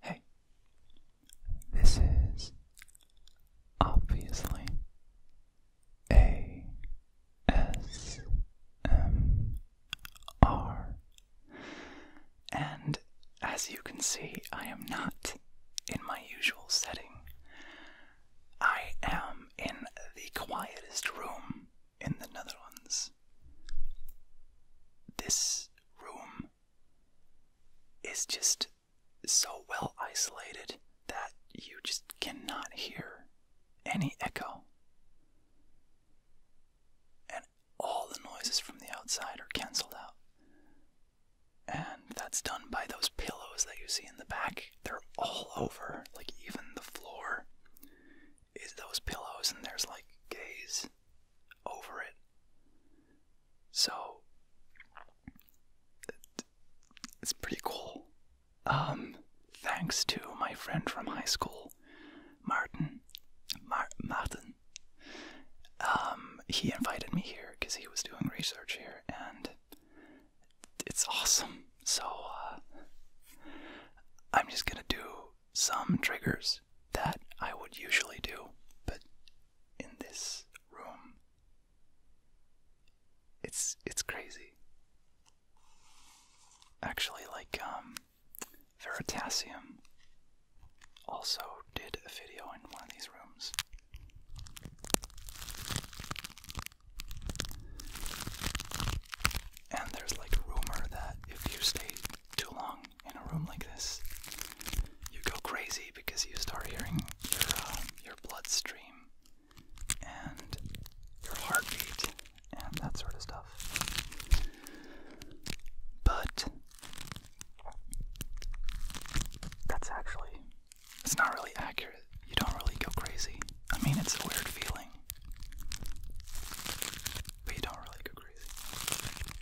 Hey, this is obviously A S M R, and as you can see, I am not in my usual setting. I am in the quietest room in the Netherlands. This room is just so well isolated that you just cannot hear any echo. And all the noises from the outside are cancelled out. And that's done by those pillows that you see in the back. They're all over, like even the floor is those pillows, and there's like gaze over it. So it's pretty cool. Um, thanks to my friend from high school, Martin. Martin. Um, he invited me here because he was doing research here, and it's awesome. So uh, I'm just gonna do some triggers that I would usually do, but in this room it's it's crazy. Actually like um, Veritasium also did a video in one of these rooms. And there's like a rumor that if you stay too long in a room like this, you go crazy because you start hearing your uh, your bloodstream and your heartbeat and that sort of stuff. But that's actually it's not really accurate. You don't really go crazy. I mean, it's a weird feeling. But you don't really go crazy.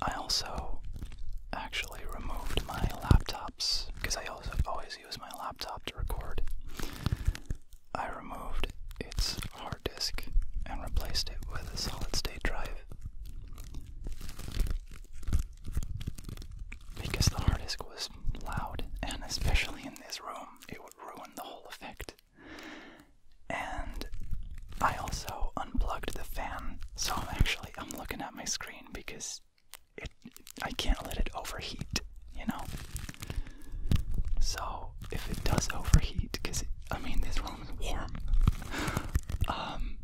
I also actually removed my laptops because I always use my laptop to record. I removed its hard disk and replaced it with a solid state drive. Because the hard disk was loud, and especially in this room, it would ruin the whole effect and I also unplugged the fan, so I'm actually I'm looking at my screen because it I can't let it overheat, you know. So if it does overheat, because I mean this room is warm, um,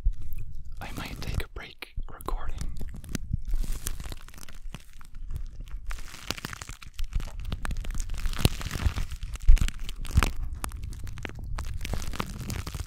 I might take a break recording.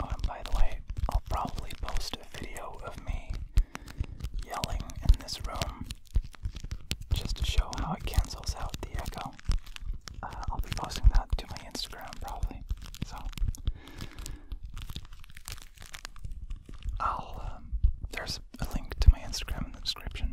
Oh, and by the way, I'll probably post a video of me yelling in this room just to show how it cancels out the echo. Uh, I'll be posting that to my Instagram probably. So I'll um, there's a link to my Instagram in the description.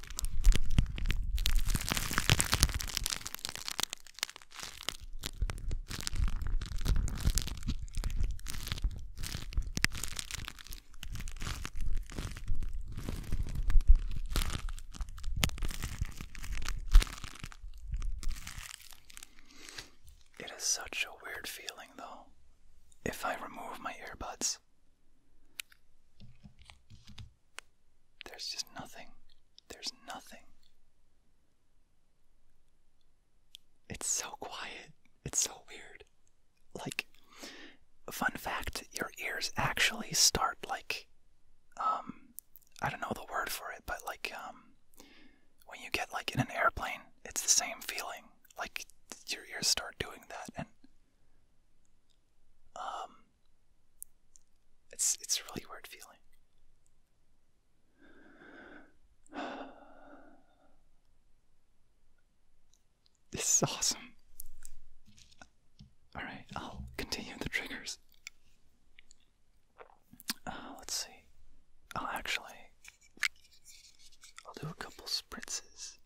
It is such a weird feeling, though, if I remove my earbuds. There's just nothing. There's nothing. It's so quiet. It's so weird. Like, fun fact your ears actually start like, um, I don't know the word for it, but like, um, when you get like in an airplane, it's the same feeling. Like, your ears start doing that, and, um, it's it's a really weird feeling. This is awesome. All right, I'll continue the triggers. Uh, let's see. I'll actually I'll do a couple spritzes.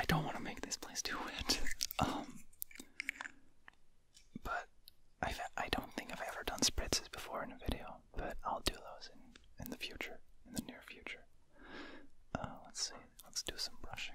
I don't want to make this place too wet, um, but I've, I i do not think I've ever done spritzes before in a video but I'll do those in, in the future, in the near future. Uh, let's see, let's do some brushing.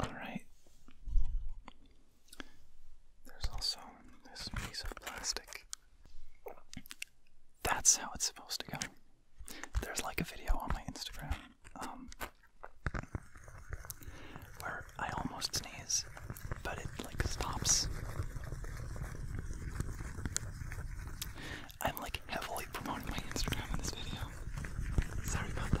All right. There's also this piece of plastic that's how it's supposed to go. There's like a video on my Instagram um, where I almost sneeze, but it like stops. I'm like heavily promoting my Instagram in this video. Sorry about that.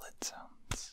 lid sounds.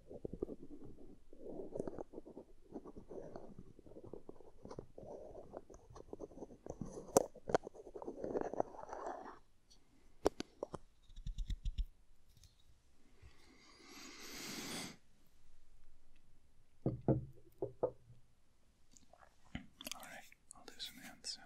All right, I'll do some hand sounds.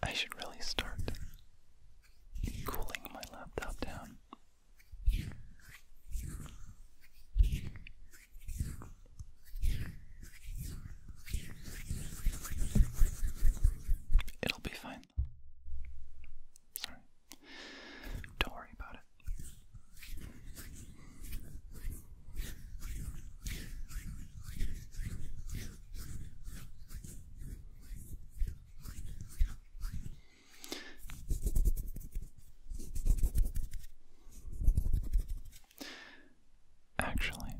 I should really start cooling my laptop down. It'll be fine. Don't worry about it. Actually,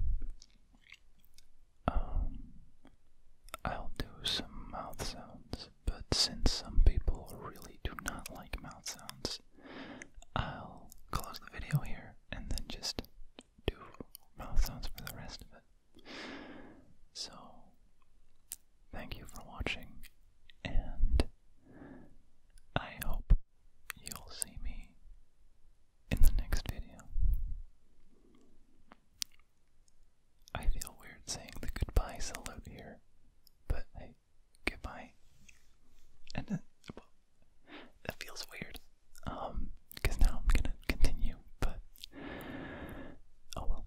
um, I'll do some mouth sounds, but since some people really do not like mouth sounds, I'll close the video here and then just do mouth sounds for the rest of it. So, thank you for watching, and I hope You'll see me in the next video. I feel weird saying the goodbye salute here, but hey, goodbye. And it, feels weird, because um, now I'm gonna continue, but oh well.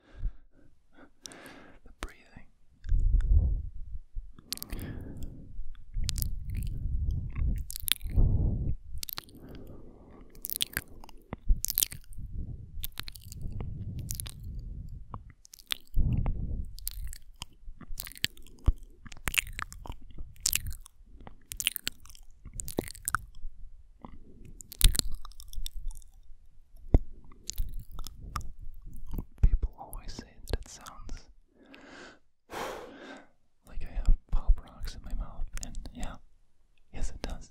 the breathing. People always say that it sounds like I have pop rocks in my mouth, and yeah, yes, it does.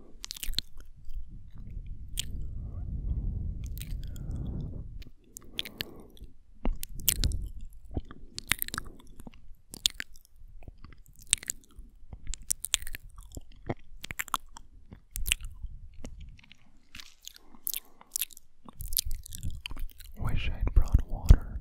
Wish I'd brought water.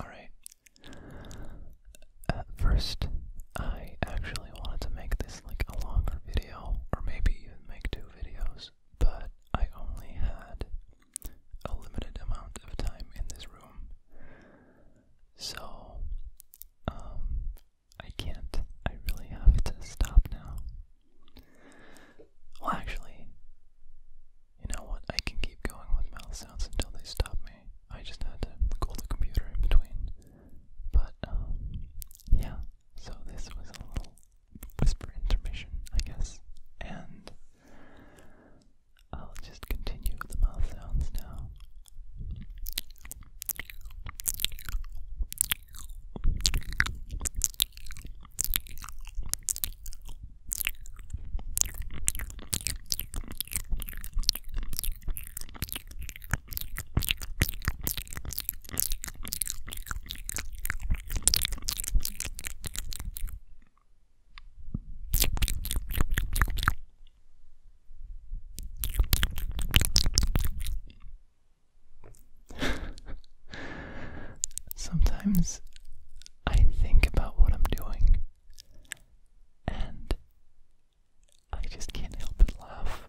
All right. At first, I actually wanted to make this like a longer video, or maybe even make two videos, but I only had a limited amount of time in this room. So, um, I can't. I really have to stop now. Well, actually, you know what? I can keep going with mouth sounds until they stop me. I just had to cool the computer in between. But, um, yeah. So this was a little whisper information, I guess. And I'll just continue with the mouth sounds now. Sometimes I think about what I'm doing and I just can't help but laugh.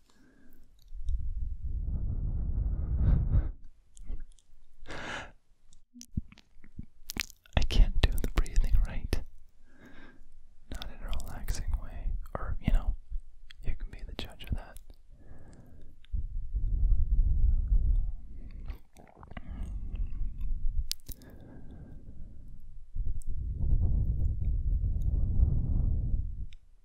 I can't do the breathing right. Not in a relaxing way. Or, you know, you can be the judge of that.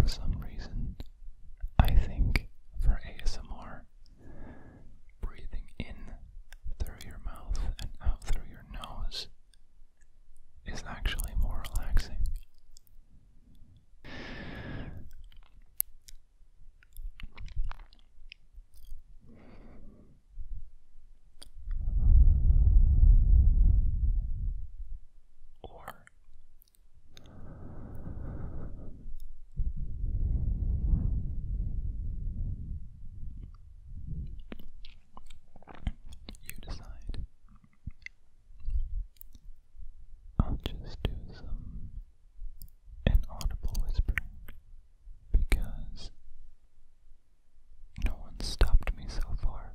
For some reason, I think for ASMR, breathing in through your mouth and out through your nose is actually more relaxing. Or you decide I'll just do some inaudible whispering because no one stopped me so far.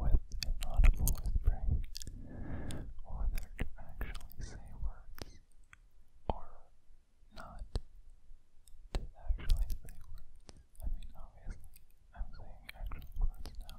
with inaudible whispering, whether to actually say words or not to actually say words. I mean, obviously, I'm saying actual words now.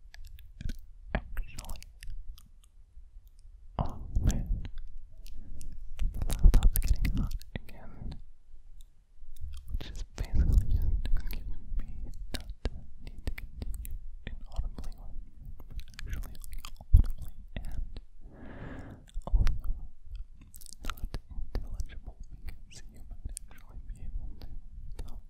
actually. Oh man, the laptop's getting hot again, which is basically just me not to need to continue inaudibly or actually like audibly not intelligible because you actually be able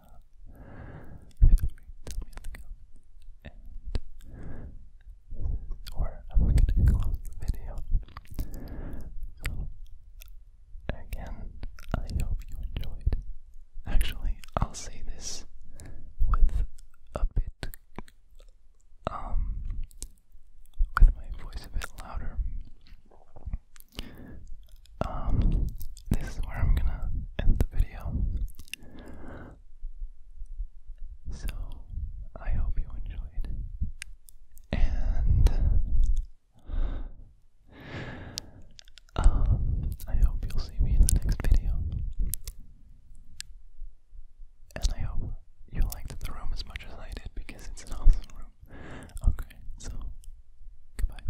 feel free to video. again, I hope you enjoyed. Actually, I'll say this with a bit, um, with my voice a bit louder. Um, this is where I'm gonna end the video. So, I hope you enjoyed. And um, I hope you'll see me in the next video. And I hope you liked the room as much as I did because it's an awesome room. Okay, so goodbye.